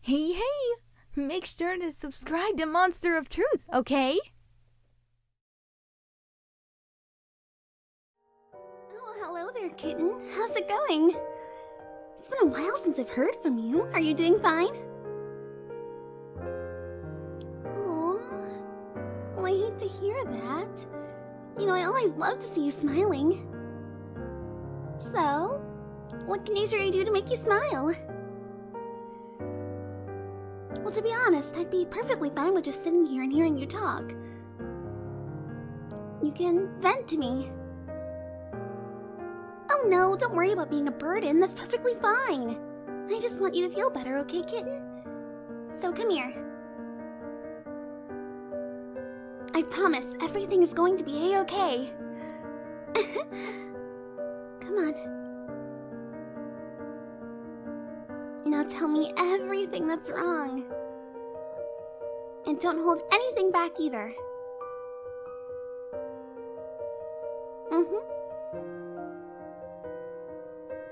Hey, hey! Make sure to subscribe to Monster of Truth, okay? Oh, hello there, kitten. How's it going? It's been a while since I've heard from you. Are you doing fine? Aww. I hate to hear that. You know, I always love to see you smiling. So, what can Azuri do to make you smile? Well, to be honest, I'd be perfectly fine with just sitting here and hearing you talk. You can vent to me. Oh no, don't worry about being a burden, that's perfectly fine. I just want you to feel better, okay, kitten? So come here. I promise, everything is going to be a-okay. Come on. Now tell me everything that's wrong. And don't hold anything back either. Mm-hmm.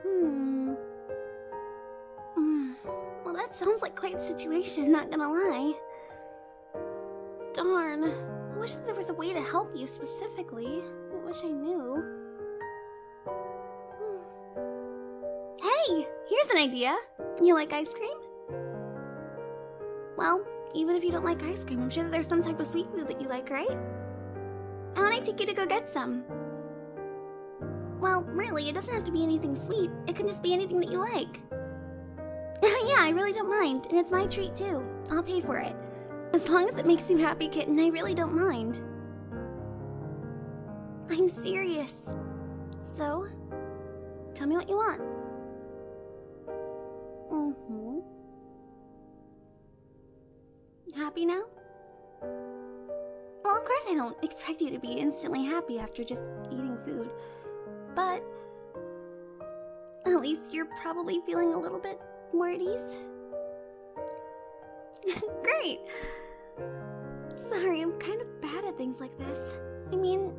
Hmm. Mm. Well, that sounds like quite a situation, not gonna lie. Darn. I wish there was a way to help you specifically. I wish I knew. Hmm. Hey! Here's an idea! You like ice cream? Well, even if you don't like ice cream, I'm sure that there's some type of sweet food that you like, right? I want to take you to go get some. Well, really, it doesn't have to be anything sweet. It can just be anything that you like. yeah, I really don't mind, and it's my treat too. I'll pay for it. As long as it makes you happy, kitten, I really don't mind. I'm serious. So, tell me what you want. Mm-hmm. Happy now? Well, of course I don't expect you to be instantly happy after just eating food. But at least you're probably feeling a little bit more at ease. Great! Sorry, I'm kind of bad at things like this. I mean,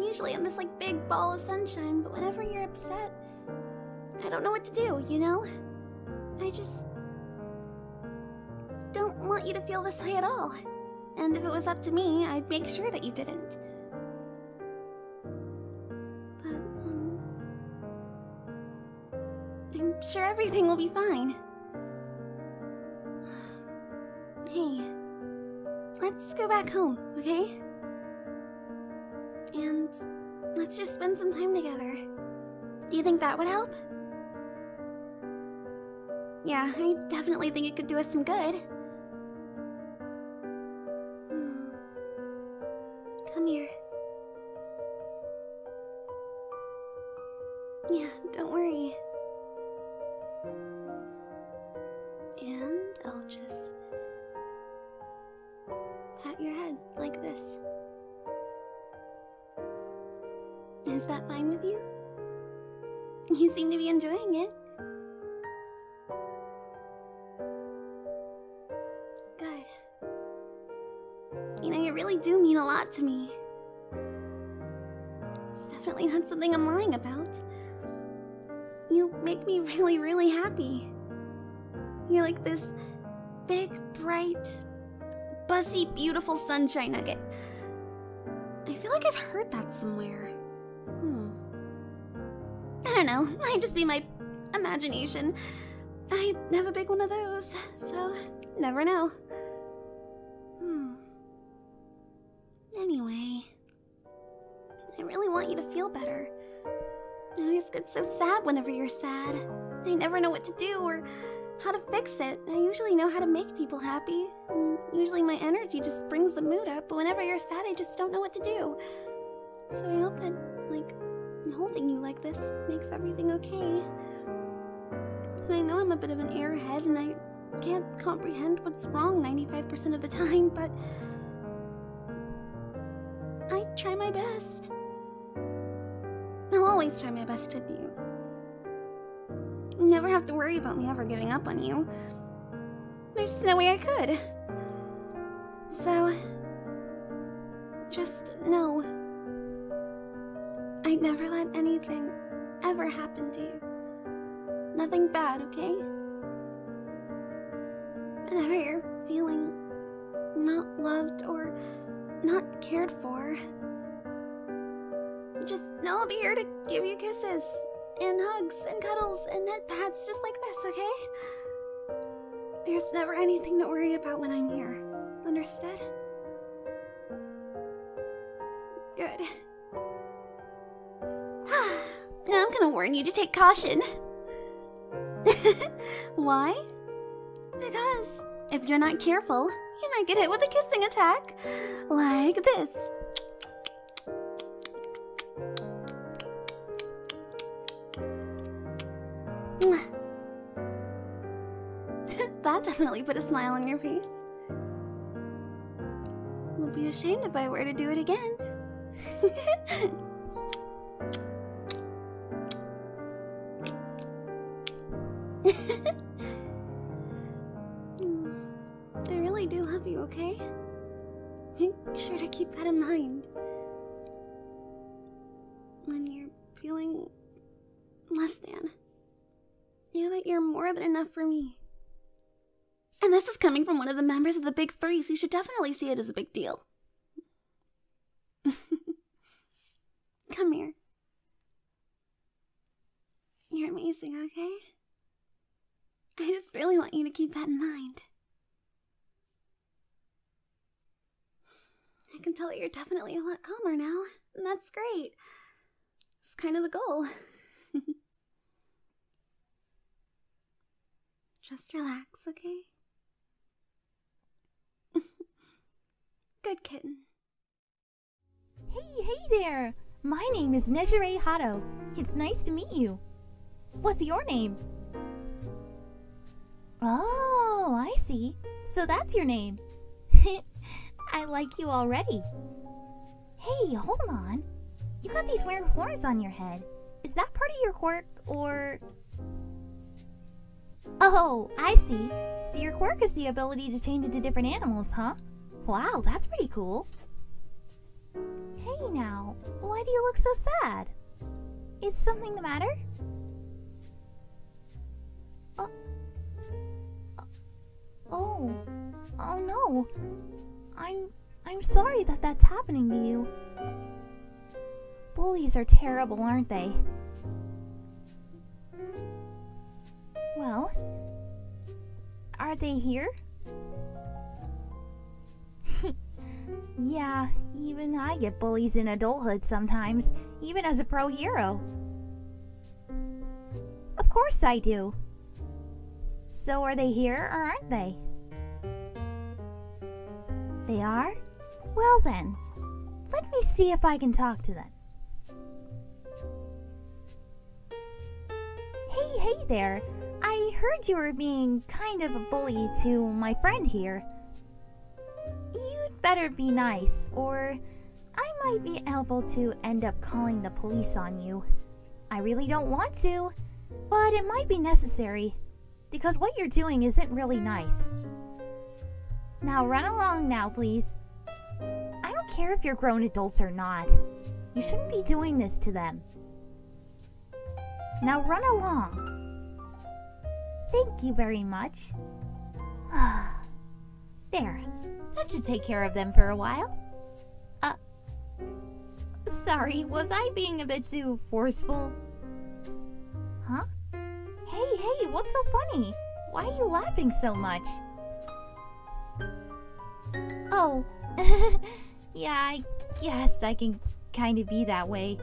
usually I'm this like big ball of sunshine, but whenever you're upset, I don't know what to do, you know? I just don't want you to feel this way at all. And if it was up to me, I'd make sure that you didn't. But, um, I'm sure everything will be fine. Hey, let's go back home, okay? And let's just spend some time together. Do you think that would help? Yeah, I definitely think it could do us some good. Come here. Yeah, don't worry. And I'll just pat your head like this. Is that fine with you? You seem to be enjoying it. Good. You know, you really do mean a lot to me. It's definitely not something I'm lying about. You make me really, really happy. You're like this big, bright, buzzy, beautiful sunshine nugget. I feel like I've heard that somewhere. Hmm. I don't know. Might just be my imagination. I never big one of those, so never know. Hmm. Anyway, I really want you to feel better. I always get so sad whenever you're sad. I never know what to do or how to fix it. I usually know how to make people happy. usually my energy just brings the mood up, but whenever you're sad, I just don't know what to do. So I hope that, like, holding you like this makes everything okay. And I know I'm a bit of an airhead and I can't comprehend what's wrong 95% of the time, but I try my best. I'll always try my best with you. You never have to worry about me ever giving up on you. There's just no way I could. So... Just know... I'd never let anything ever happen to you. Nothing bad, okay? Whenever you're feeling not loved or not cared for, just know I'll be here to give you kisses and hugs and cuddles and head pats just like this, okay? There's never anything to worry about when I'm here. Understood? Good. now I'm gonna warn you to take caution. Why? Because if you're not careful, you might get hit with a kissing attack. Like this. that definitely put a smile on your face. Won't be ashamed if I were to do it again. They really do love you, okay? Make sure to keep that in mind. When you're feeling less than, know that you're more than enough for me. And this is coming from one of the members of the Big Three, so you should definitely see it as a big deal. Come here. You're amazing, okay? I just really want you to keep that in mind. I can tell that you're definitely a lot calmer now, and that's great. It's kind of the goal. Just relax, okay? Good kitten. Hey, hey there! My name is Nejere Hato. It's nice to meet you. What's your name? Oh, I see. So that's your name. I like you already. Hey, hold on. You got these weird horns on your head. Is that part of your quirk, or. Oh, I see. So your quirk is the ability to change into different animals, huh? Wow, that's pretty cool. Hey now, why do you look so sad? Is something the matter? Uh, uh, oh, oh no. I'm I'm sorry that that's happening to you. Bullies are terrible, aren't they? Well, are they here? yeah, even I get bullies in adulthood sometimes, even as a pro hero. Of course I do. So are they here or aren't they? They are? Well then, let me see if I can talk to them. Hey, hey there. I heard you were being kind of a bully to my friend here. You'd better be nice, or I might be able to end up calling the police on you. I really don't want to, but it might be necessary, because what you're doing isn't really nice. Now run along now, please. I don't care if you're grown adults or not. You shouldn't be doing this to them. Now run along. Thank you very much. there, I should take care of them for a while. Uh, sorry, was I being a bit too forceful? Huh? Hey, hey, what's so funny? Why are you laughing so much? Oh, Yeah, I guess I can kind of be that way.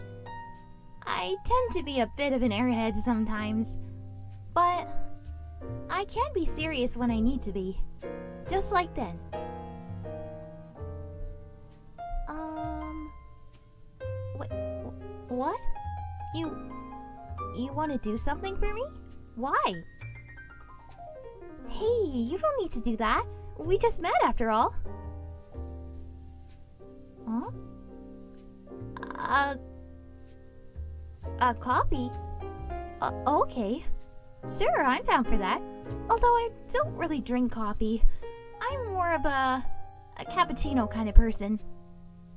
I tend to be a bit of an airhead sometimes, but I can be serious when I need to be. Just like then. Um. What? What? You. You want to do something for me? Why? Hey, you don't need to do that. We just met after all. Huh? Uh, a coffee? Uh, okay. Sure, I'm down for that. Although I don't really drink coffee. I'm more of a, a cappuccino kind of person.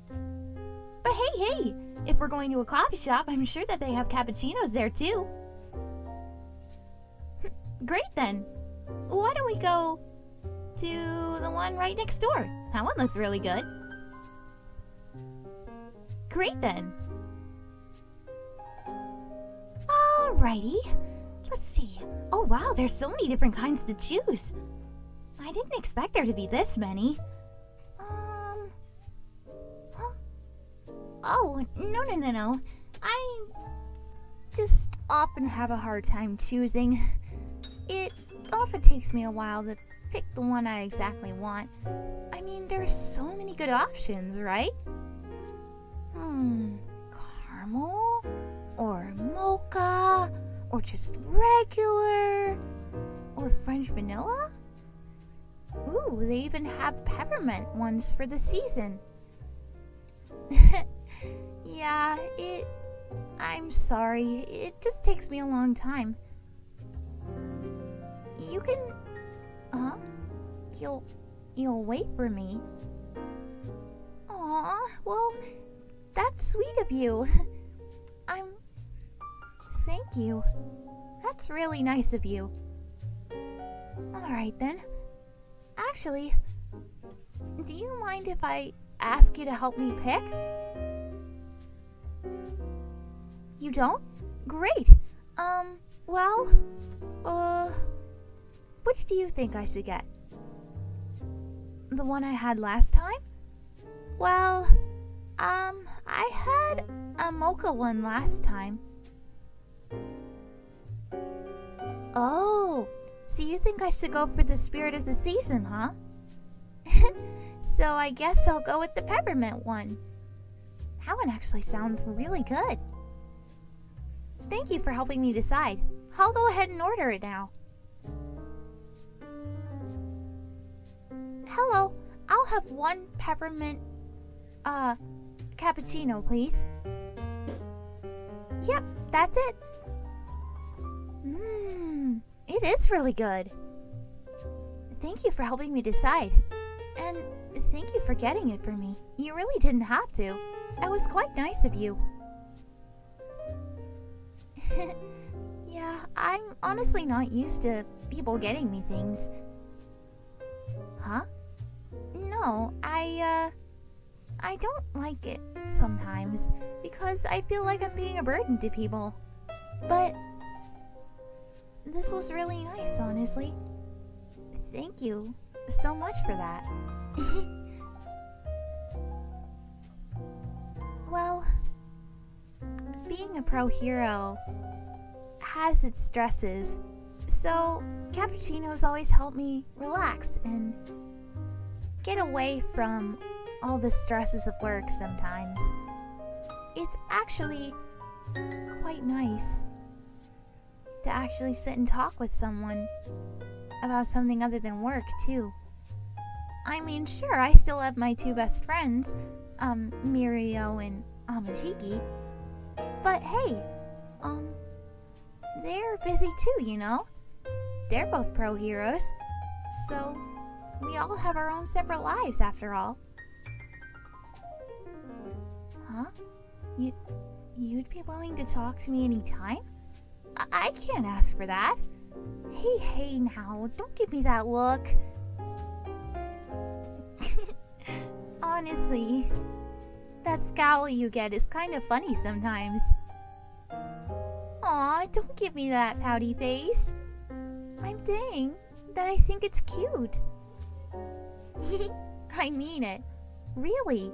But hey, hey! If we're going to a coffee shop, I'm sure that they have cappuccinos there too. Great then. Why don't we go to the one right next door? That one looks really good. Great then. Alrighty. Let's see. Oh wow, there's so many different kinds to choose. I didn't expect there to be this many. Um... Huh? Oh, no, no, no, no. I just often have a hard time choosing. It often takes me a while to pick the one I exactly want. I mean, there are so many good options, right? Hmm, caramel? Or mocha? Or just regular? Or French vanilla? Ooh, they even have peppermint ones for the season. yeah, it. I'm sorry. It just takes me a long time. You can. uh? You'll. You'll wait for me. Aw, well, that's sweet of you. I'm. Thank you. That's really nice of you. Alright then. Actually, do you mind if I ask you to help me pick? You don't? Great. Um, well, uh, which do you think I should get? The one I had last time? Well, um, I had a mocha one last time. Oh, so you think I should go for the spirit of the season, huh? so I guess I'll go with the peppermint one. That one actually sounds really good. Thank you for helping me decide. I'll go ahead and order it now. Hello, I'll have one peppermint uh, cappuccino, please. Yep, that's it. Mmm, it is really good. Thank you for helping me decide. And thank you for getting it for me. You really didn't have to. That was quite nice of you. yeah, I'm honestly not used to people getting me things. Huh? No, I, uh, I don't like it sometimes because I feel like I'm being a burden to people. But this was really nice, honestly. Thank you so much for that. well, being a pro hero has its stresses. So, cappuccinos always help me relax and get away from all the stresses of work sometimes. It's actually quite nice to actually sit and talk with someone about something other than work, too. I mean, sure, I still have my two best friends, um, Mirio and Amajiki. But hey, um, they're busy too, you know? They're both pro heroes. So, we all have our own separate lives after all. Huh? You, you'd be willing to talk to me anytime? I, I can't ask for that. Hey, hey now, don't give me that look. Honestly, that scowl you get is kind of funny sometimes. Aw, don't give me that pouty face. I'm saying that I think it's cute. I mean it. Really.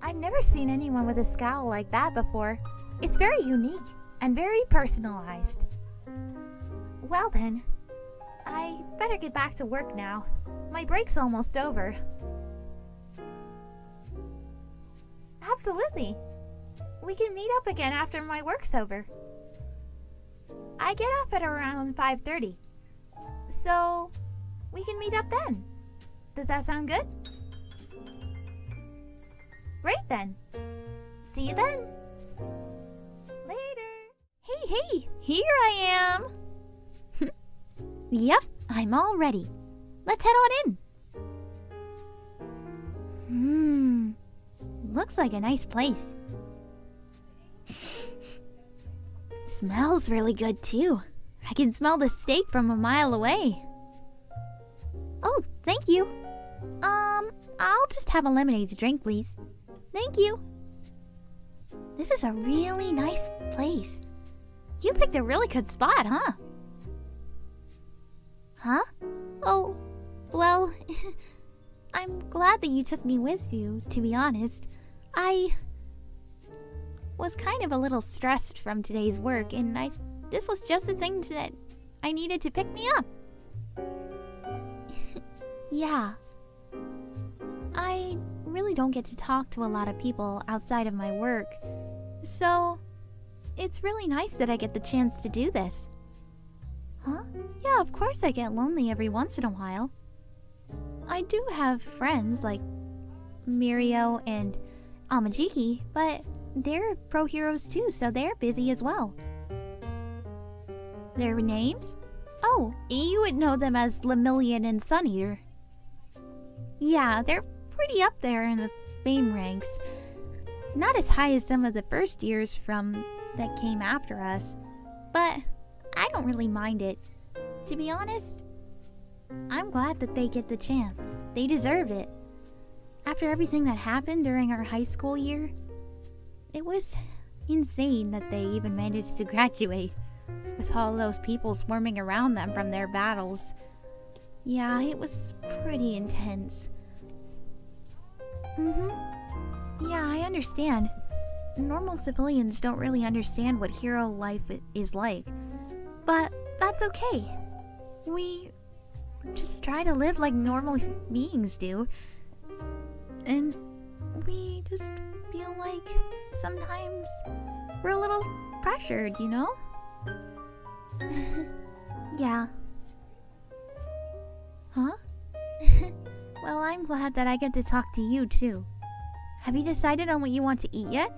I've never seen anyone with a scowl like that before. It's very unique and very personalized. Well then, I better get back to work now. My break's almost over. Absolutely. We can meet up again after my work's over. I get off at around 5.30. So, we can meet up then. Does that sound good? Great then. See you then. Later. Hey, hey, here I am. yep, I'm all ready. Let's head on in. Hmm, looks like a nice place. Smells really good too. I can smell the steak from a mile away. Oh, thank you. Um, I'll just have a lemonade to drink, please. Thank you. This is a really nice place. You picked a really good spot, huh? Huh? Oh, well, I'm glad that you took me with you, to be honest. I was kind of a little stressed from today's work, and I this was just the thing that I needed to pick me up. yeah, I really don't get to talk to a lot of people outside of my work, so it's really nice that I get the chance to do this. Huh? Yeah, of course I get lonely every once in a while. I do have friends like Mirio and Amajiki, but they're pro heroes too, so they're busy as well. Their names? Oh, you would know them as Lemillion and Sun Eater. Yeah, they're pretty up there in the fame ranks. Not as high as some of the first years from that came after us, but I don't really mind it. To be honest, I'm glad that they get the chance. They deserved it. After everything that happened during our high school year, it was insane that they even managed to graduate, with all those people swarming around them from their battles. Yeah, it was pretty intense. Mm hmm. Yeah, I understand. Normal civilians don't really understand what hero life is like. But that's okay. We just try to live like normal beings do. And we just feel like sometimes we're a little pressured, you know? yeah. Huh? well, I'm glad that I get to talk to you too. Have you decided on what you want to eat yet?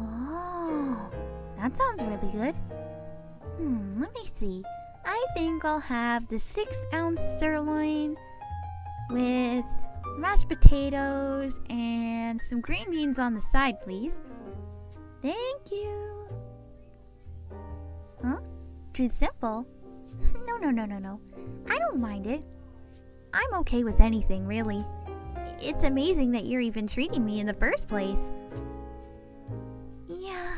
Oh, that sounds really good. Hmm, let me see. I think I'll have the six ounce sirloin with mashed potatoes and some green beans on the side, please. Thank you. Huh? Too simple? no, no, no, no, no. I don't mind it. I'm okay with anything, really. It's amazing that you're even treating me in the first place. Yeah,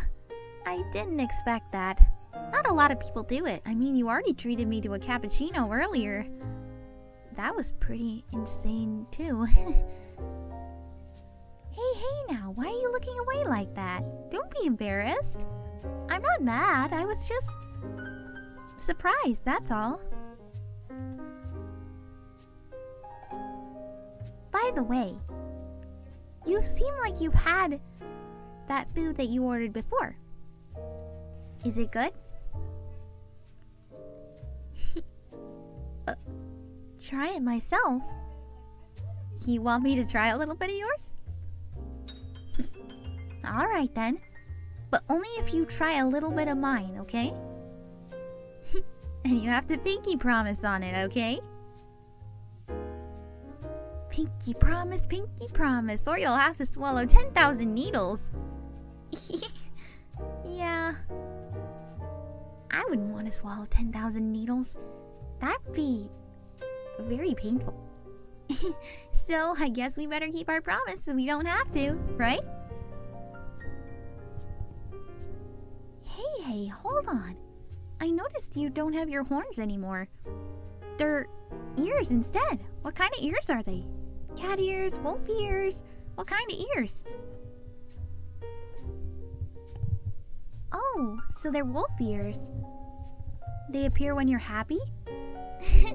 I didn't expect that. Not a lot of people do it. I mean, you already treated me to a cappuccino earlier. That was pretty insane, too. hey, hey now, why are you looking away like that? Don't be embarrassed. I'm not mad, I was just surprised, that's all. By the way, you seem like you've had that food that you ordered before. Is it good? Uh, try it myself. You want me to try a little bit of yours? Alright then. But only if you try a little bit of mine, okay? and you have to pinky promise on it, okay? Pinky promise, pinky promise, or you'll have to swallow 10,000 needles. yeah. I wouldn't want to swallow 10,000 needles. That'd be very painful. so, I guess we better keep our promise so we don't have to, right? Hey, hey, hold on. I noticed you don't have your horns anymore are their ears instead. What kind of ears are they? Cat ears, wolf ears. What kind of ears? Oh, so they're wolf ears. They appear when you're happy?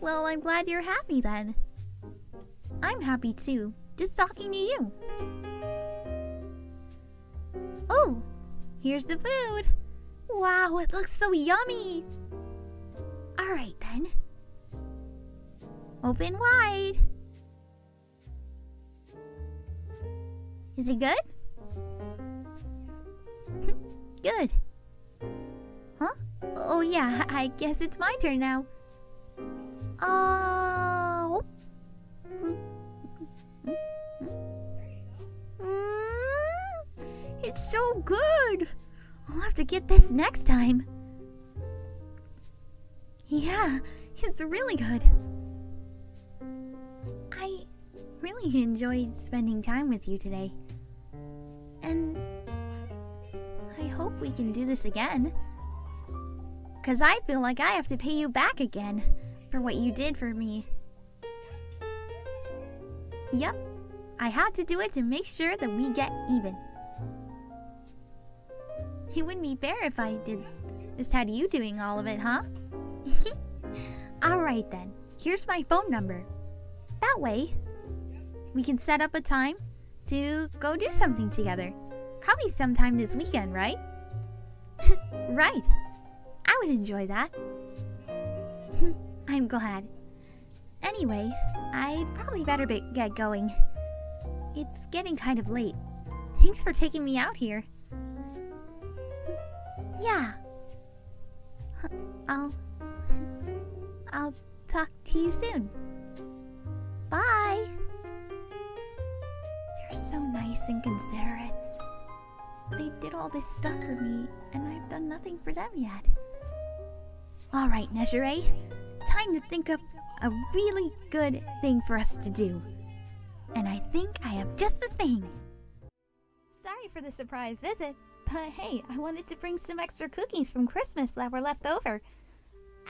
well, I'm glad you're happy then. I'm happy too, just talking to you. Oh, here's the food. Wow, it looks so yummy. Alright then. Open wide. Is it good? good. Huh? Oh yeah, I guess it's my turn now. Oh. Mm-hmm. It's so good. I'll have to get this next time. Yeah, it's really good. I really enjoyed spending time with you today. And I hope we can do this again. Because I feel like I have to pay you back again for what you did for me Yep, I had to do it to make sure that we get even. It wouldn't be fair if I did. Just had you doing all of it, huh? Alright then, here's my phone number. That way, we can set up a time to go do something together. Probably sometime this weekend, right? right. I would enjoy that. I'm glad. Anyway, i probably better get going. It's getting kind of late. Thanks for taking me out here. Yeah. I'll... I'll talk to you soon. Bye! They're so nice and considerate. They did all this stuff for me, and I've done nothing for them yet. Alright, Nezhere. Time to think of a really good thing for us to do. And I think I have just the thing. Sorry for the surprise visit, but hey, I wanted to bring some extra cookies from Christmas that were left over.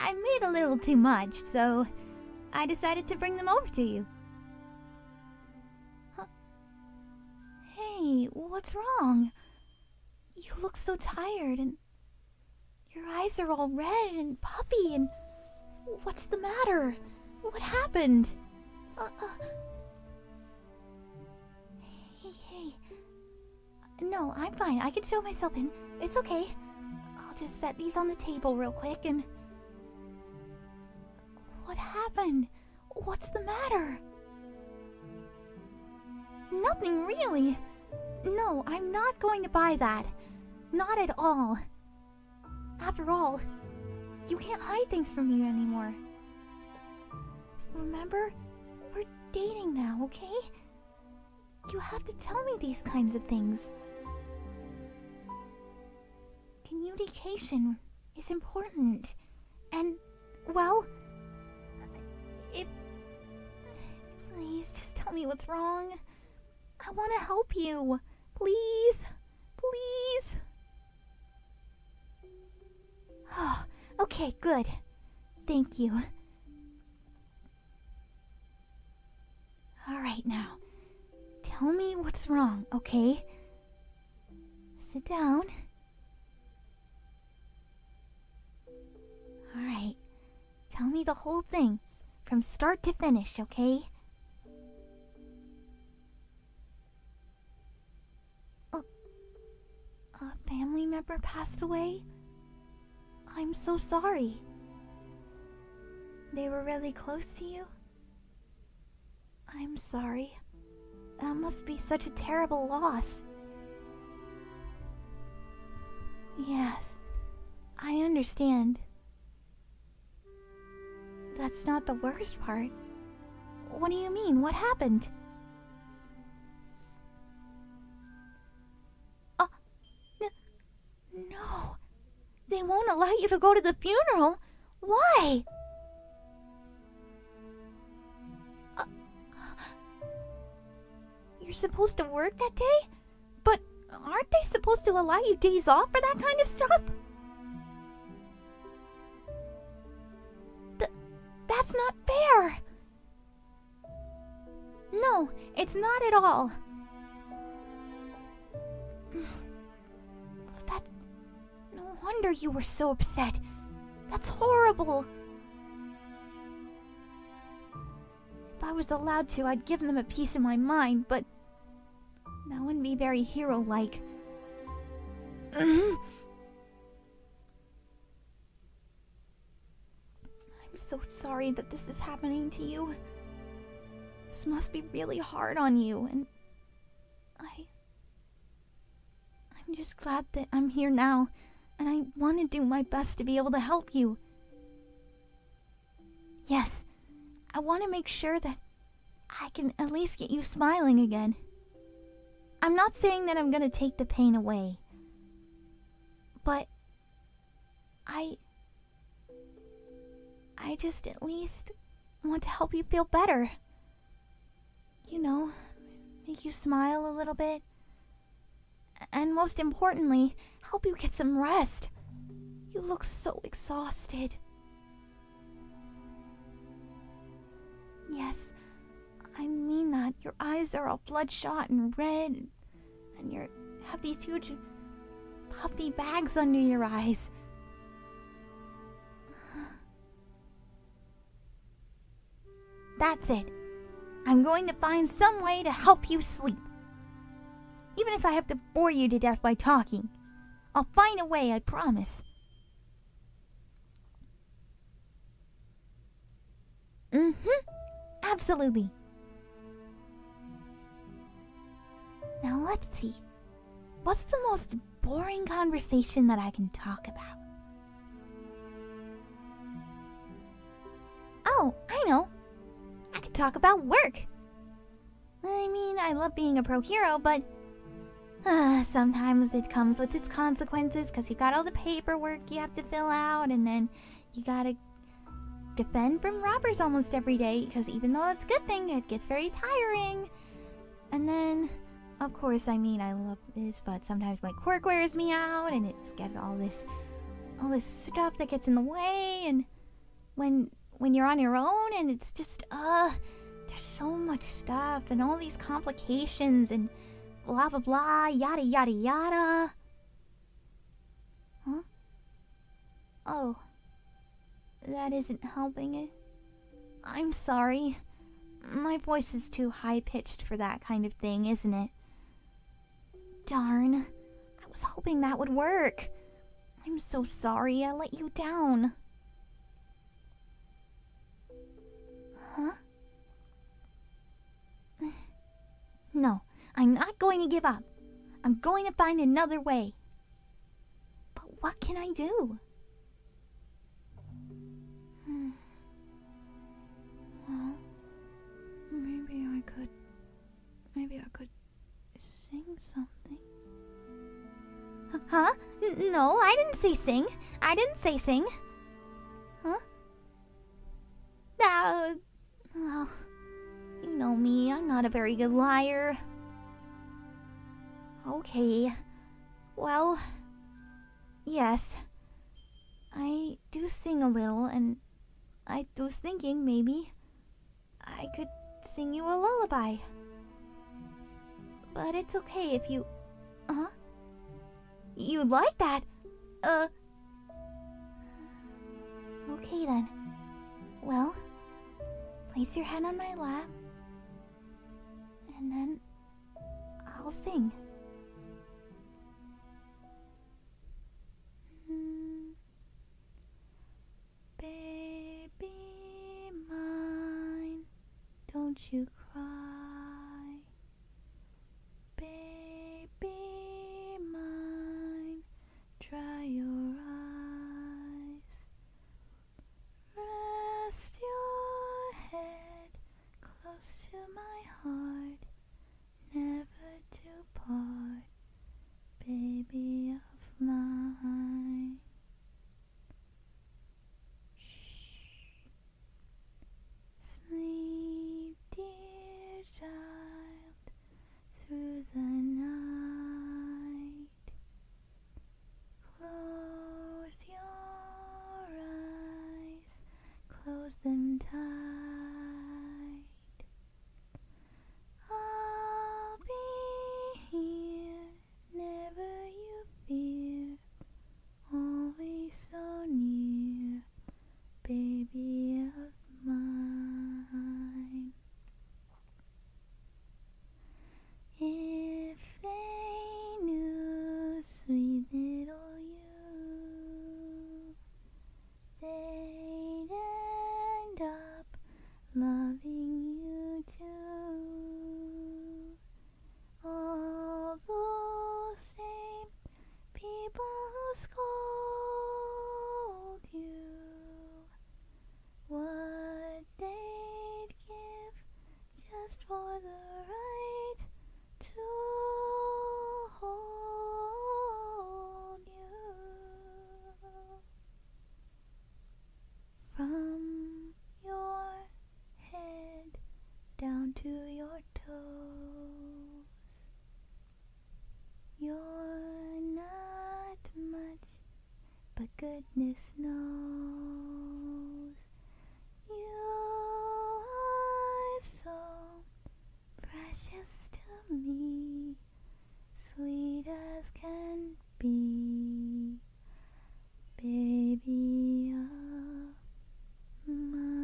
I made a little too much, so I decided to bring them over to you. Hey, what's wrong? You look so tired and your eyes are all red and puffy and what's the matter? What happened? Uh, uh... Hey, hey. No, I'm fine. I can show myself in. It's okay. I'll just set these on the table real quick and. What happened? What's the matter? Nothing really. No, I'm not going to buy that. Not at all. After all, you can't hide things from me anymore. Remember, we're dating now, okay? You have to tell me these kinds of things. Communication is important. And, well, if. Please, just tell me what's wrong. I want to help you. Please. Please. Oh, okay, good. Thank you. Alright now. Tell me what's wrong, okay? Sit down. Alright, tell me the whole thing from start to finish, okay? A, family member passed away? I'm so sorry. They were really close to you? I'm sorry. That must be such a terrible loss. Yes, I understand. That's not the worst part. What do you mean? What happened? Uh, no, they won't allow you to go to the funeral. Why? Uh, you're supposed to work that day? But aren't they supposed to allow you days off for that kind of stuff? that's not fair! No, it's not at all. That... No wonder you were so upset. That's horrible. If I was allowed to, I'd give them a piece of my mind, but... That wouldn't be very hero-like. I'm so sorry that this is happening to you. This must be really hard on you, and... I... I'm just glad that I'm here now, and I want to do my best to be able to help you. Yes, I want to make sure that I can at least get you smiling again. I'm not saying that I'm going to take the pain away, but I. I just at least want to help you feel better you know, make you smile a little bit. And most importantly, help you get some rest. You look so exhausted. Yes, I mean that. Your eyes are all bloodshot and red, and you have these huge puffy bags under your eyes. That's it. I'm going to find some way to help you sleep. Even if I have to bore you to death by talking, I'll find a way, I promise. hmm. Absolutely. Now let's see. What's the most boring conversation that I can talk about? Oh, I know. I could talk about work. I mean, I love being a pro hero, but uh, sometimes it comes with its consequences because you got all the paperwork you have to fill out, and then you gotta defend from robbers almost every day because even though that's a good thing, it gets very tiring. And then, of course, I mean, I love this, but sometimes my quirk wears me out, and it's got all this, all this stuff that gets in the way, and when when you're on your own, and it's just, uh, there's so much stuff, and all these complications, and blah blah blah, yada yada yada. Huh? Oh. That isn't helping it. I'm sorry. My voice is too high pitched for that kind of thing, isn't it? Darn. I was hoping that would work. I'm so sorry I let you down. Huh? No, I'm not going to give up. I'm going to find another way. But what can I do? Hmm. Well, maybe I could. Maybe I could sing something. Huh? no, I didn't say sing. I didn't say sing. Huh? Uh, well, you know me, I'm not a very good liar. Okay, well, yes. I do sing a little, and I was thinking maybe I could sing you a lullaby. But it's okay if you. Uh huh? You'd like that? Uh. Okay then. Well, place your head on my lap. And then I'll sing. Baby mine, don't you cry. Baby mine, dry your eyes. Rest your head close to my heart, never to part, baby of mine. Shh. Sleep, dear child, through the night. Close your eyes, close them tight. I'll be here, never you fear, always so near, baby of mine. If they knew, sweet little you, they'd end up loving you too. All the same people who scold you, what they'd give just for the right to hold you from your head down to your toes. You're not much but goodness knows you are so precious to me, sweet as can be, baby of mine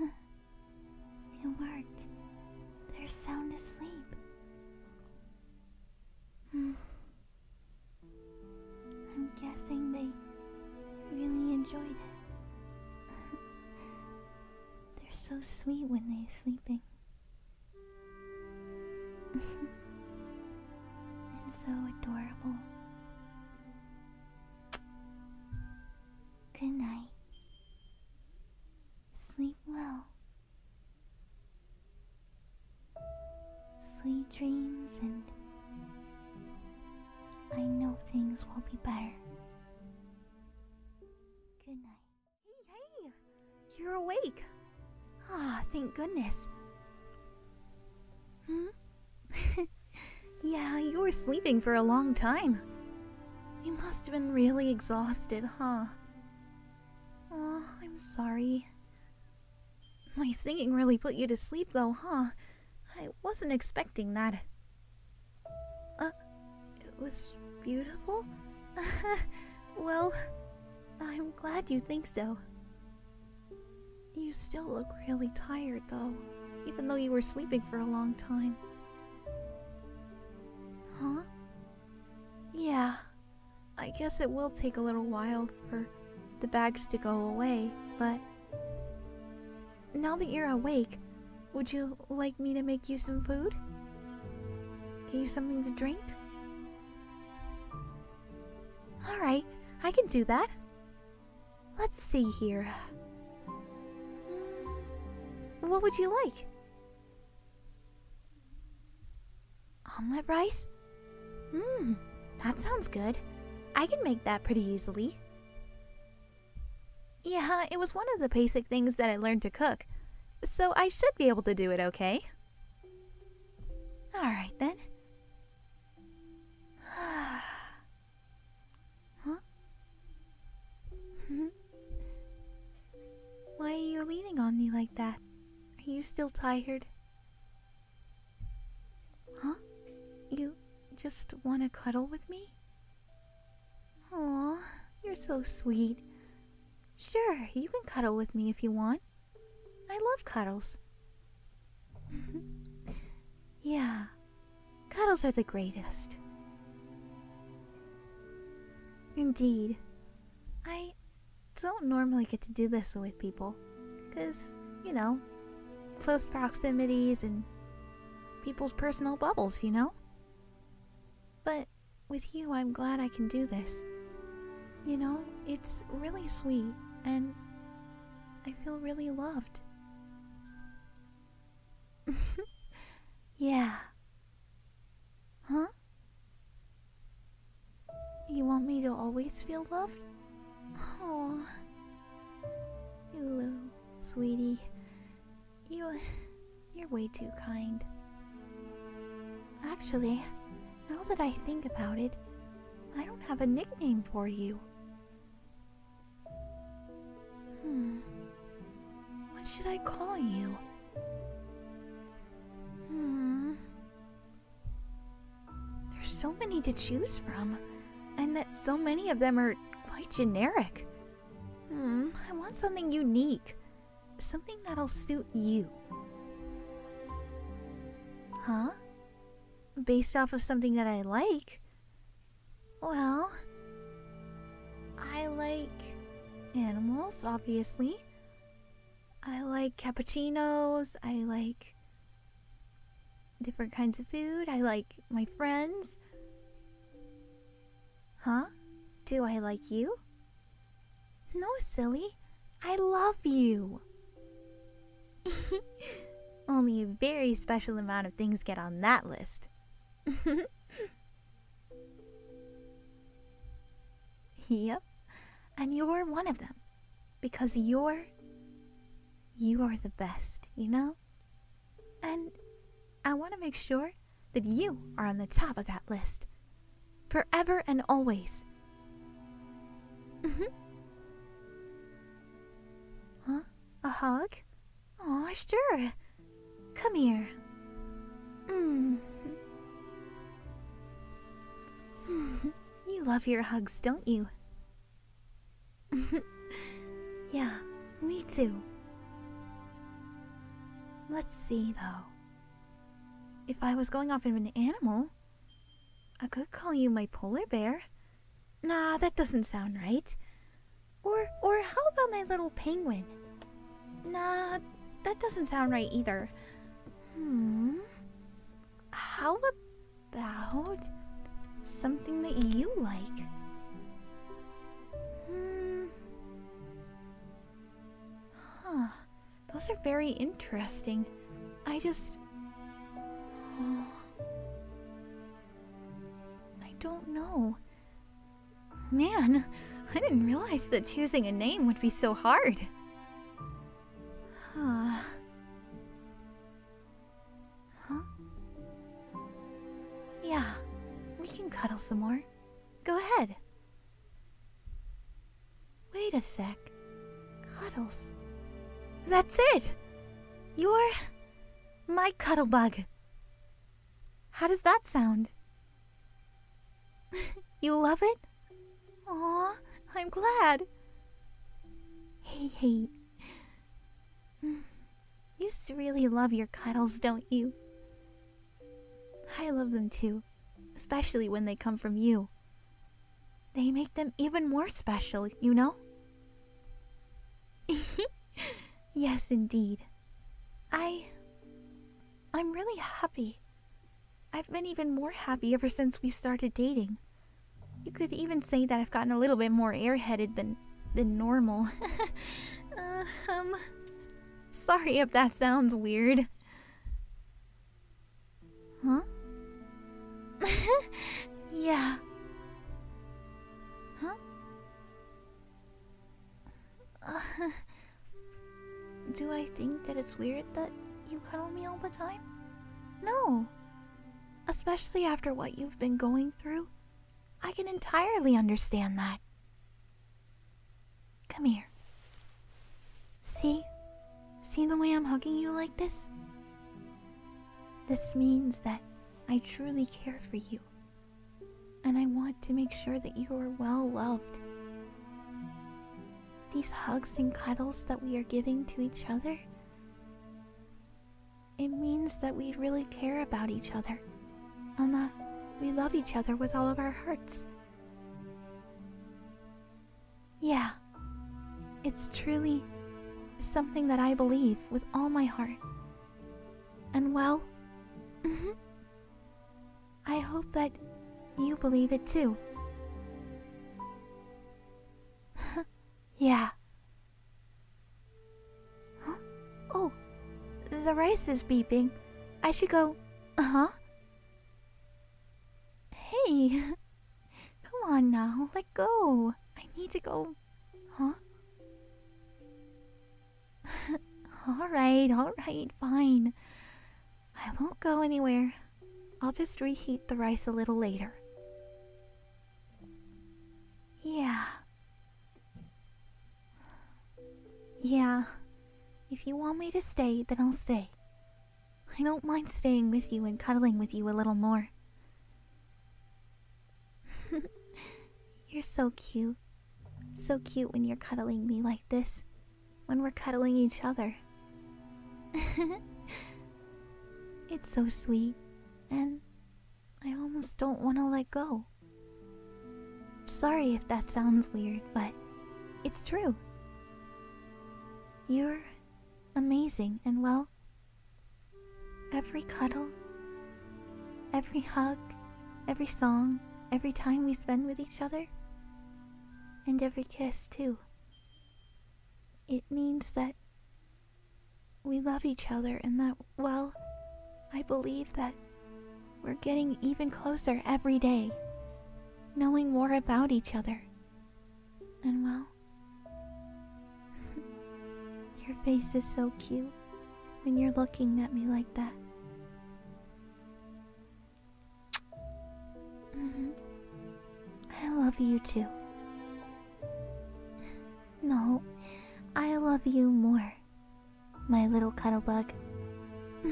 it worked. They're sound asleep. Hmm. I'm guessing they really enjoyed it. They're so sweet when they're sleeping. and so adorable. Good night. Sleep well. Sweet dreams, and I know things will be better. Good night. Hey, You're awake! Ah, thank goodness. Hmm? yeah, you were sleeping for a long time. You must have been really exhausted, huh? Oh, I'm sorry. My singing really put you to sleep, though, huh? I wasn't expecting that. Uh, it was beautiful? well, I'm glad you think so. You still look really tired, though, even though you were sleeping for a long time. Huh? Yeah. I guess it will take a little while for the bags to go away, but. Now that you're awake, would you like me to make you some food? Give you something to drink? Alright, I can do that. Let's see here. Hmm, what would you like? Omelette rice? Mmm, that sounds good. I can make that pretty easily. Yeah, it was one of the basic things that I learned to cook, so I should be able to do it okay. Alright then. Huh? Why are you leaning on me like that? Are you still tired? Huh? You just want to cuddle with me? Oh, you're so sweet. Sure, you can cuddle with me if you want. I love cuddles. yeah, Cuddles are the greatest. Indeed. I don't normally get to do this with people. Because, you know, close proximities and people's personal bubbles, you know? But with you, I'm glad I can do this. You know, it's really sweet, and I feel really loved. yeah, Huh? You want me to always feel loved? Oh, you little sweetie, you, you're way too kind. Actually, now that I think about it, I don't have a nickname for you. Hmm. What should I call you? Hmm. There's so many to choose from, and that so many of them are quite generic. Hmm, I want something unique. Something that'll suit you. Huh? Based off of something that I like? Well, I like animals, obviously. I like cappuccinos. I like different kinds of food. I like my friends. Huh? Do I like you? No, silly. I love you. Only a very special amount of things get on that list. Yep, and you're one of them. Because you're. You are the best, you know? And I want to make sure that you are on the top of that list. Forever and always. hmm. Huh? A hug? Oh sure. Come here. Mm. mm. you love your hugs, don't you? yeah, me too. Let's see, though. If I was going off of an animal, I could call you my polar bear. Nah, that doesn't sound right. Or, or how about my little penguin? Nah, that doesn't sound right either. Hmm. How about something that you like? Hmm. Huh. Those are very interesting. I just. I don't know. Man, I didn't realize that choosing a name would be so hard. Huh. Huh? Yeah, we can cuddle some more. Go ahead. Wait a sec. Cuddles. That's it! You're... my cuddle bug. How does that sound? you love it? Aw, I'm glad. Hey, hey. You really love your cuddles, don't you? I love them too, especially when they come from you. They make them even more special, you know? yes, indeed. I. I'm really happy. I've been even more happy ever since we started dating. You could even say that I've gotten a little bit more airheaded than than normal. uh, um sorry if that sounds weird. Huh? yeah. Huh? do I think that it's weird that you cuddle me all the time? No. Especially after what you've been going through, I can entirely understand that. Come here. See? See the way I'm hugging you like this? This means that I truly care for you. And I want to make sure that you are well loved. These hugs and cuddles that we are giving to each other, it means that we really care about each other and that we love each other with all of our hearts. Yeah, it's truly something that I believe with all my heart. And well, I hope that you believe it too. yeah. Oh, the rice is beeping. I should go. Uh huh. Hey, come on now, let go. I need to go. Huh? alright, alright, fine. I won't go anywhere. I'll just reheat the rice a little later. Yeah. Yeah. If you want me to stay, then I'll stay. I don't mind staying with you and cuddling with you a little more. You're so cute. So cute when you're cuddling me like this, when we're cuddling each other. it's so sweet, and I almost don't want to let go. Sorry if that sounds weird, but it's true. You're amazing, and well, every cuddle Every hug, every song, every time we spend with each other, and every kiss, too. It means that we love each other and that, well, I believe that we're getting even closer every day, knowing more about each other. And, well, your face is so cute when you're looking at me like that. Mm-hmm. I love you too. No, I love you more, my little cuddlebug.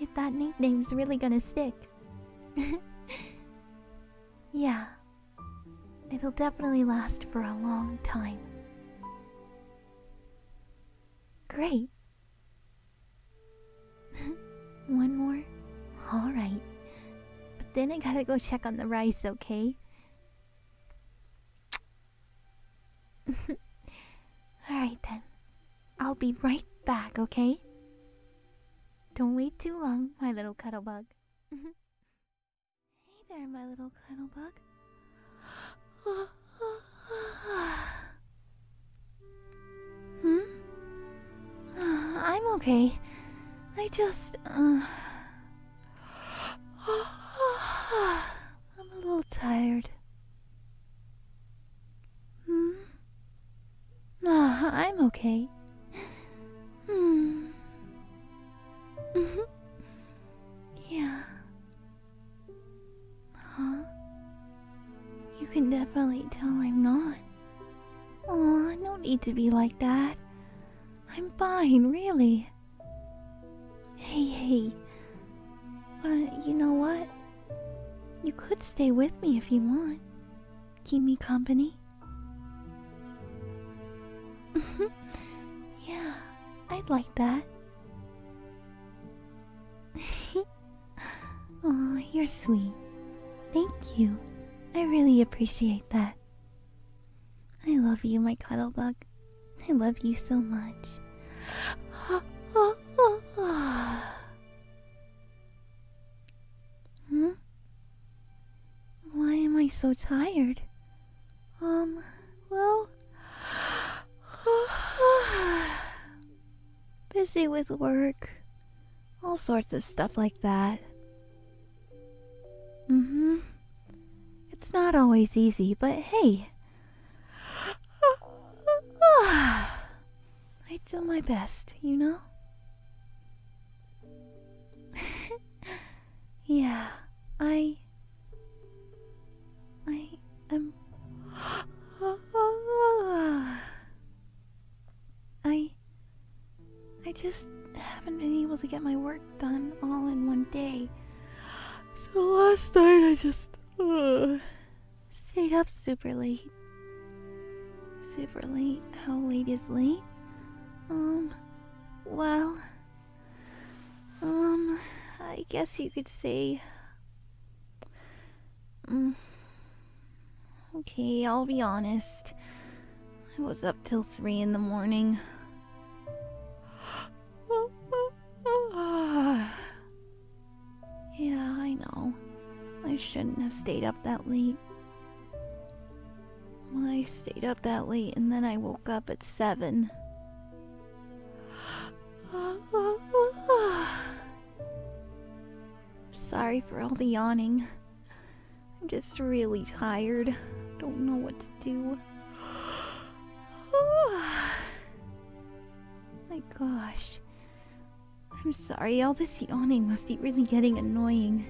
if that nickname's really gonna stick. yeah, it'll definitely last for a long time. Great. One more? Alright. But then I gotta go check on the rice, okay? Alright then. I'll be right back, okay? Don't wait too long, my little cuddle bug. Hey there, my little cuddle bug. hmm? I'm okay. I just, uh, I'm a little tired. Hmm? Uh, I'm okay. Hmm. yeah. Huh? You can definitely tell I'm not. Oh, I don't need to be like that. I'm fine, really. Hey, hey. But you know what? You could stay with me if you want. Keep me company. yeah, I'd like that oh, you're sweet. Thank you. I really appreciate that. I love you, my cuddlebug. I love you so much. hmm? Why am I so tired? Um, well, busy with work, all sorts of stuff like that. Mm hmm. It's not always easy, but hey, I do my best, you know? yeah, I I am. I. I just haven't been able to get my work done all in one day. So last night I just. stayed up super late. Super late? How late is late? Um. Well, um, I guess you could say. Mm, okay, I'll be honest. I was up till three in the morning. yeah, I know. I shouldn't have stayed up that late. Well, I stayed up that late and then I woke up at seven. Sorry for all the yawning. I'm just really tired. Don't know what to do. My gosh. I'm sorry, all this yawning must be really getting annoying.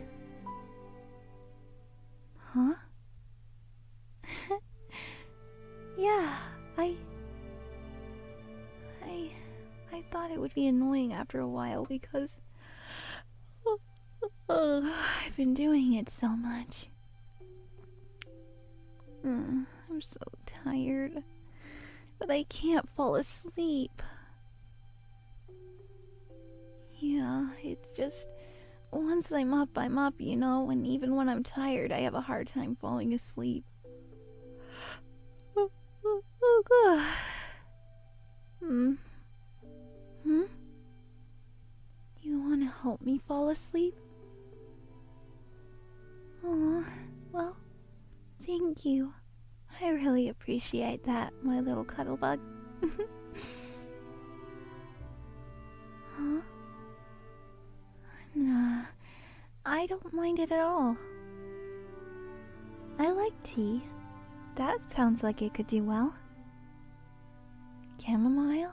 Huh? yeah, I. I. I thought it would be annoying after a while because. I've been doing it so much. Uh, I'm so tired. But I can't fall asleep. Yeah, it's just once I'm up, I'm up, you know, and even when I'm tired, I have a hard time falling asleep. hmm. Hmm? You want to help me fall asleep? Oh, well, thank you. I really appreciate that, my little cuddlebug. huh? Nah, uh, I don't mind it at all. I like tea. That sounds like it could do well. Chamomile?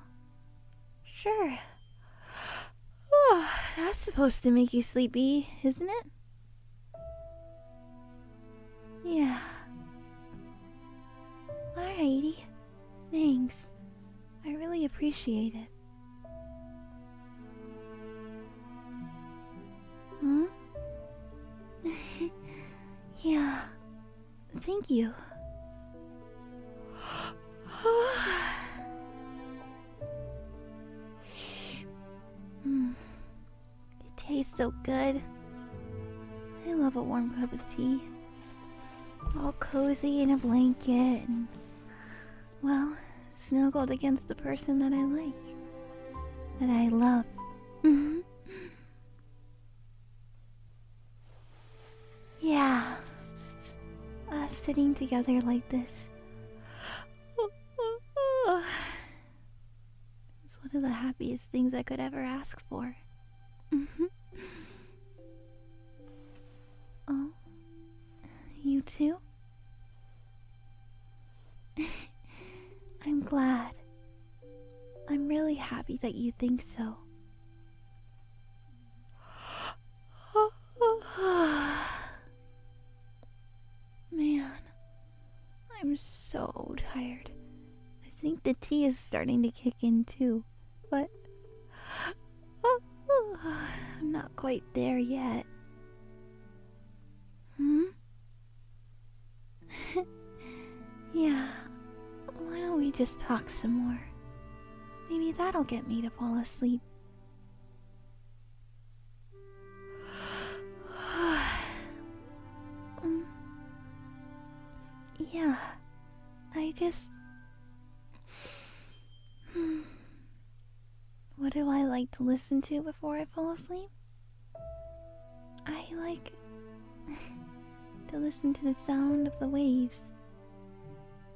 Sure. Oh, that's supposed to make you sleepy, isn't it? Yeah. Alrighty. Thanks. I really appreciate it. Hmm? yeah. Thank you. Hmm. It tastes so good. I love a warm cup of tea all cozy in a blanket well, snuggled against the person that I like, that I love. Mm-hmm. yeah, us sitting together like this. It's one of the happiest things I could ever ask for. Mm-hmm. Oh, you too? I'm glad. I'm really happy that you think so. Man, I'm so tired. I think the tea is starting to kick in too. But I'm not quite there yet. Hmm? yeah. Why don't we just talk some more? Maybe that'll get me to fall asleep. um, yeah. I just. what do I like to listen to before I fall asleep? I like to listen to the sound of the waves.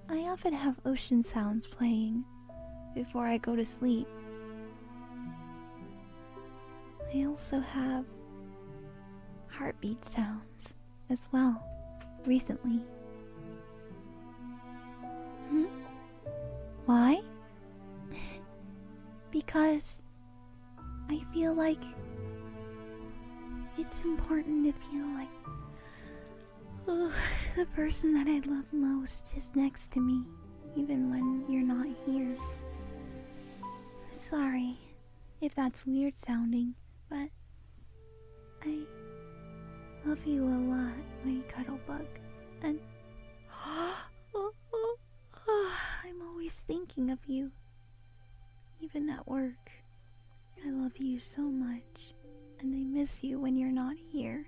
I often have ocean sounds playing before I go to sleep. I also have heartbeat sounds as well recently. Hmm? Why? because I feel like it's important to feel like the person that I love most is next to me, even when you're not here. Sorry if that's weird sounding, but I love you a lot, my cuddlebug, and I'm always thinking of you, even at work. I love you so much, and I miss you when you're not here.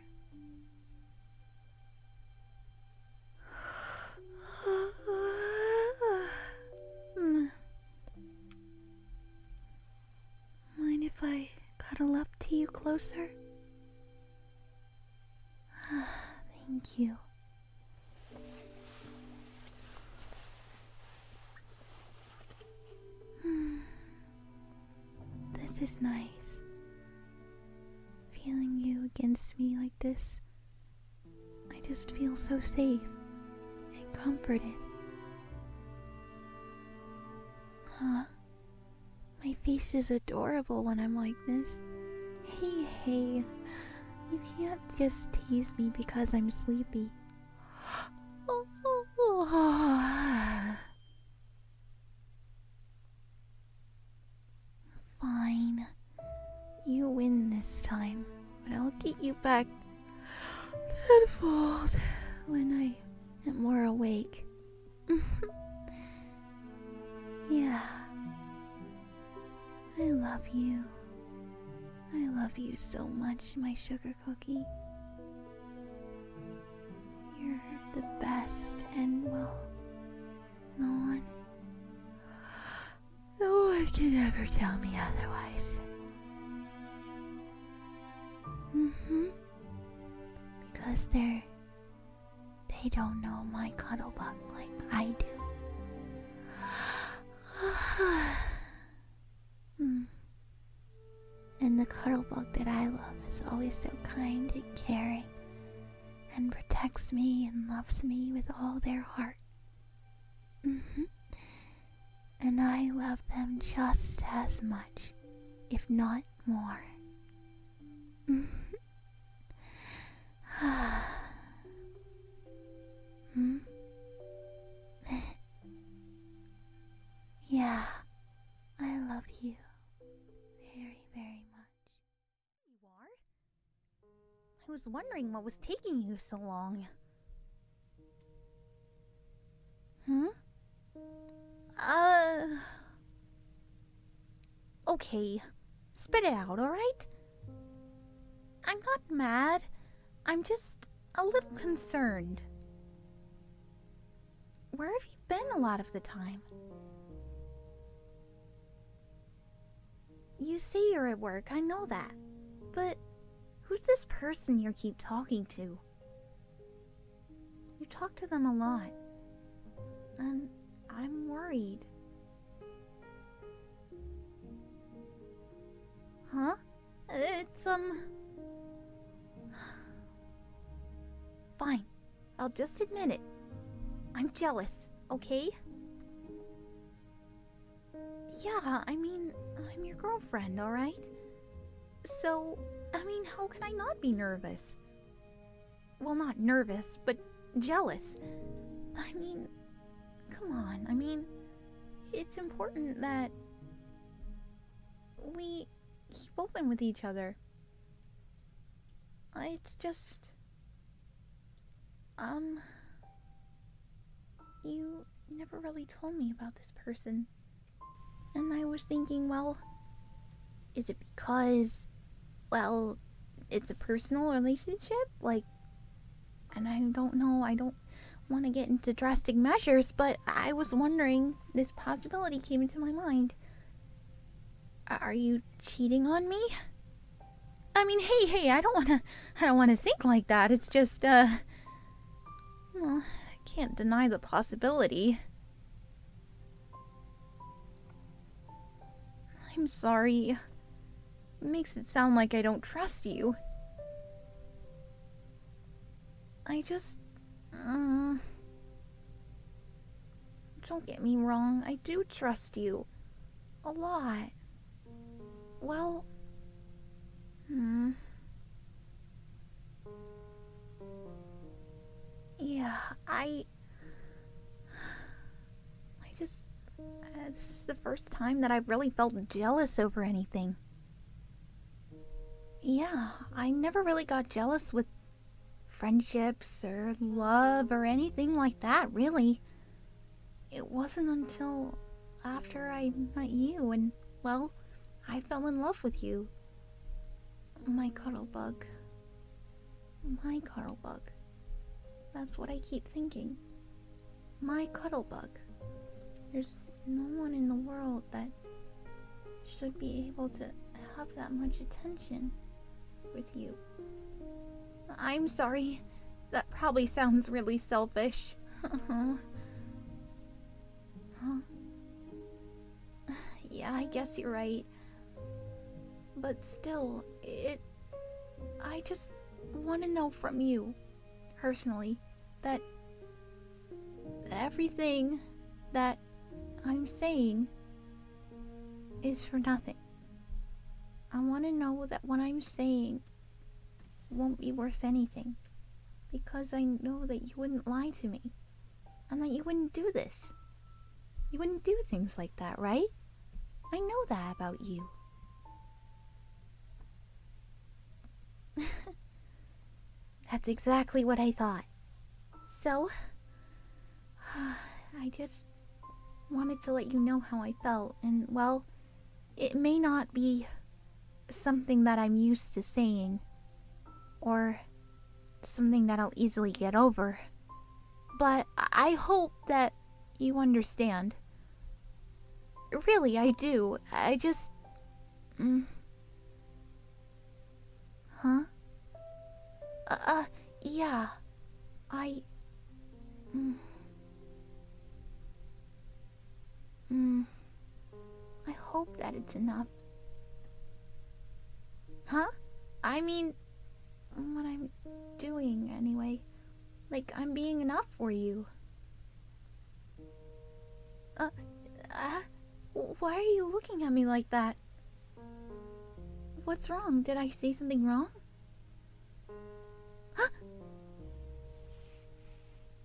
Hmm. Mind if I cuddle up to you closer? Ah, thank you. This is nice. Feeling you against me like this, I just feel so safe and comforted. Huh? My face is adorable when I'm like this. Hey, hey. You can't just tease me because I'm sleepy. Fine. You win this time, but I'll get you back unfold when I am more awake. yeah. I love you. I love you so much, my sugar cookie. You're the best, and well, no one. No one can ever tell me otherwise hmm Because they're they don't know my cuddlebuck like I do. Hmm. And the cuddlebuck that I love is always so kind and caring and protects me and loves me with all their heart. -hmm and I love them just as much, if not more. hmm? yeah, I love you very, very much. You are? I was wondering what was taking you so long. Hmm. Uh. Okay. Spit it out, alright? I'm not mad. I'm just a little concerned. Where have you been a lot of the time? You say you're at work, I know that. But who's this person you keep talking to? You talk to them a lot, and I'm worried. Huh? It's, um. Fine. I'll just admit it. I'm jealous, okay? Yeah, I mean, I'm your girlfriend, alright? So, I mean, how can I not be nervous? Well, not nervous, but jealous. I mean, come on. I mean, it's important that we keep open with each other. It's just. Um. You never really told me about this person. And I was thinking, well, is it because, well, it's a personal relationship? Like, and I don't know, I don't want to get into drastic measures, but I was wondering, this possibility came into my mind. Are you cheating on me? I mean, hey, hey, I don't want to I don't want to think like that. It's just uh well, I can't deny the possibility. I'm sorry. makes it sound like I don't trust you. I just... Um, don't get me wrong, I do trust you. A lot. Well, Hmm. Yeah, I. I just. Uh, this is the first time that I've really felt jealous over anything. Yeah, I never really got jealous with friendships or love or anything like that, really. It wasn't until after I met you, and well, I fell in love with you. My cuddlebug. My cuddlebug. That's what I keep thinking. My cuddlebug. There's no one in the world that should be able to have that much attention with you. I'm sorry. That probably sounds really selfish. Uh-huh. Huh? yeah, I guess you're right. But still, it. I just want to know from you, personally, that everything that I'm saying is for nothing. I want to know that what I'm saying won't be worth anything. Because I know that you wouldn't lie to me. And that you wouldn't do this. You wouldn't do things like that, right? I know that about you. That's exactly what I thought. So, I just wanted to let you know how I felt, and well, it may not be something that I'm used to saying, or something that I'll easily get over. But I hope that you understand. Really, I do. I just. Mm. Huh? Uh, uh yeah. I. Mm. Hmm. I hope that it's enough. Huh? I mean, what I'm doing anyway. Like, I'm being enough for you. Uh, uh, why are you looking at me like that? What's wrong? Did I say something wrong? Huh?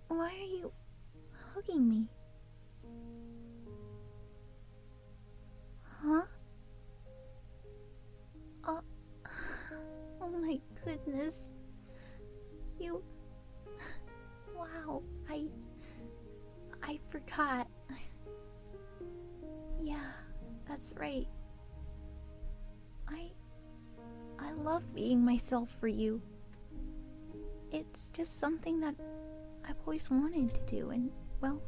Why are you hugging me? Huh? Uh, oh, my goodness. You. Wow, I. I forgot. yeah, that's right. I. I love being myself for you. It's just something that I've always wanted to do, and well,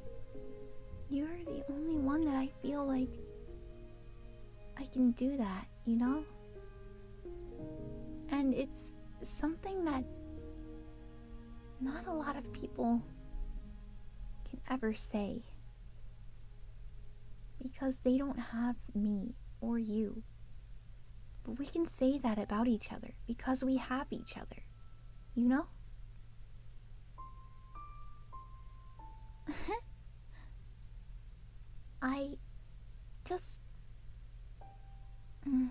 you're the only one that I feel like I can do that, you know? And it's something that not a lot of people can ever say because they don't have me or you but we can say that about each other because we have each other, you know? I just. Mm.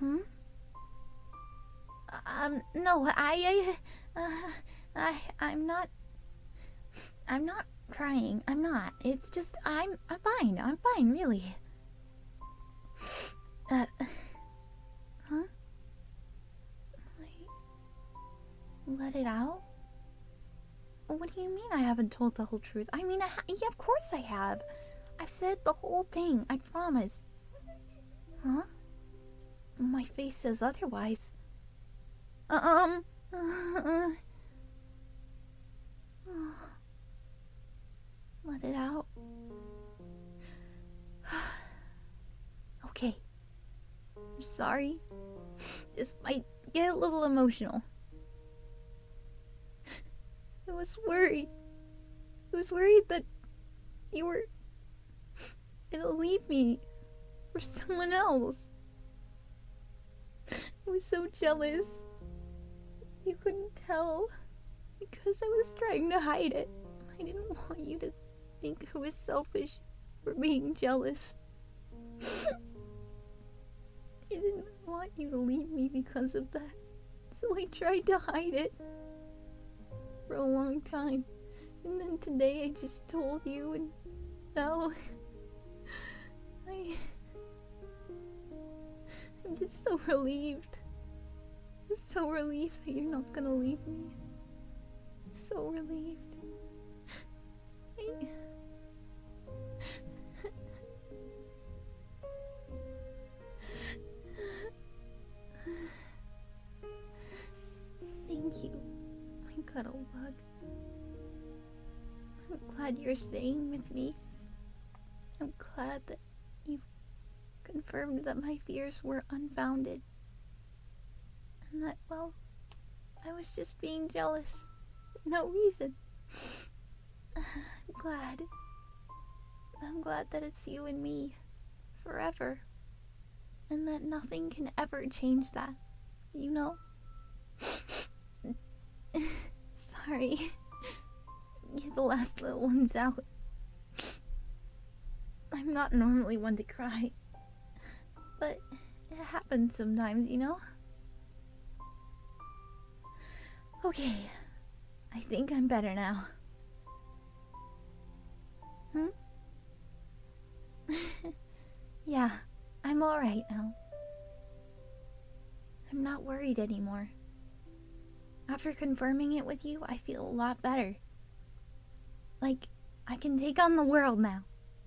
Hmm? Um, no, I. I, uh, I'm not. I'm not crying. I'm not. It's just I'm I'm fine. I'm fine, really. Uh Huh? Let it out? What do you mean I haven't told the whole truth? I mean, yeah, of course I have. I've said the whole thing. I promise. Huh? My face says otherwise. Um. Let it out. okay. I'm sorry. This might get a little emotional. I was worried. I was worried that you were. It'll leave me for someone else. I was so jealous. You couldn't tell because I was trying to hide it. I didn't want you to think I was selfish for being jealous. I didn't want you to leave me because of that, so I tried to hide it for a long time. And then today I just told you, and now I. I'm just so relieved. I'm so relieved that you're not gonna leave me. I'm so relieved. Thank you, my cuddle bug. I'm glad you're staying with me. I'm glad that you confirmed that my fears were unfounded. And that, well, I was just being jealous. No reason. I'm glad. I'm glad that it's you and me. Forever. And that nothing can ever change that. You know? Sorry. Get the last little ones out. I'm not normally one to cry. But it happens sometimes, you know? Okay. I think I'm better now. Hmm? Yeah, I'm alright now. I'm not worried anymore. After confirming it with you, I feel a lot better. Like, I can take on the world now.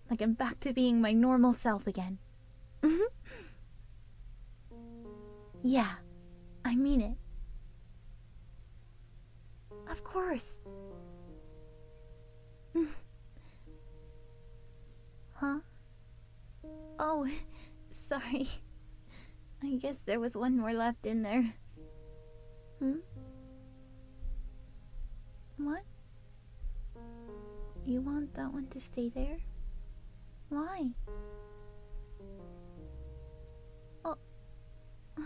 Like, I'm back to being my normal self again. Mm-hmm. yeah, I mean it. Of course. Huh? Oh, sorry. I guess there was one more left in there. Hmm? What? You want that one to stay there? Why? Oh.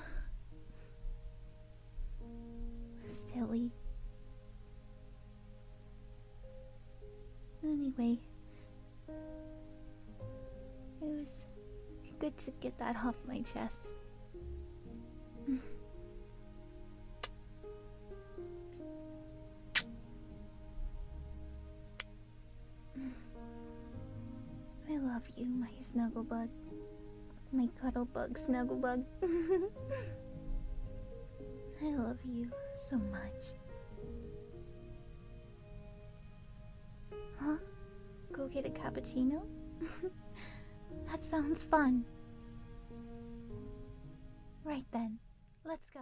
Silly. Anyway, it was good to get that off my chest. I love you, my snuggle bug. My cuddle bug, snuggle bug. I love you so much. Huh? Go get a cappuccino? that sounds fun. Right then, let's go.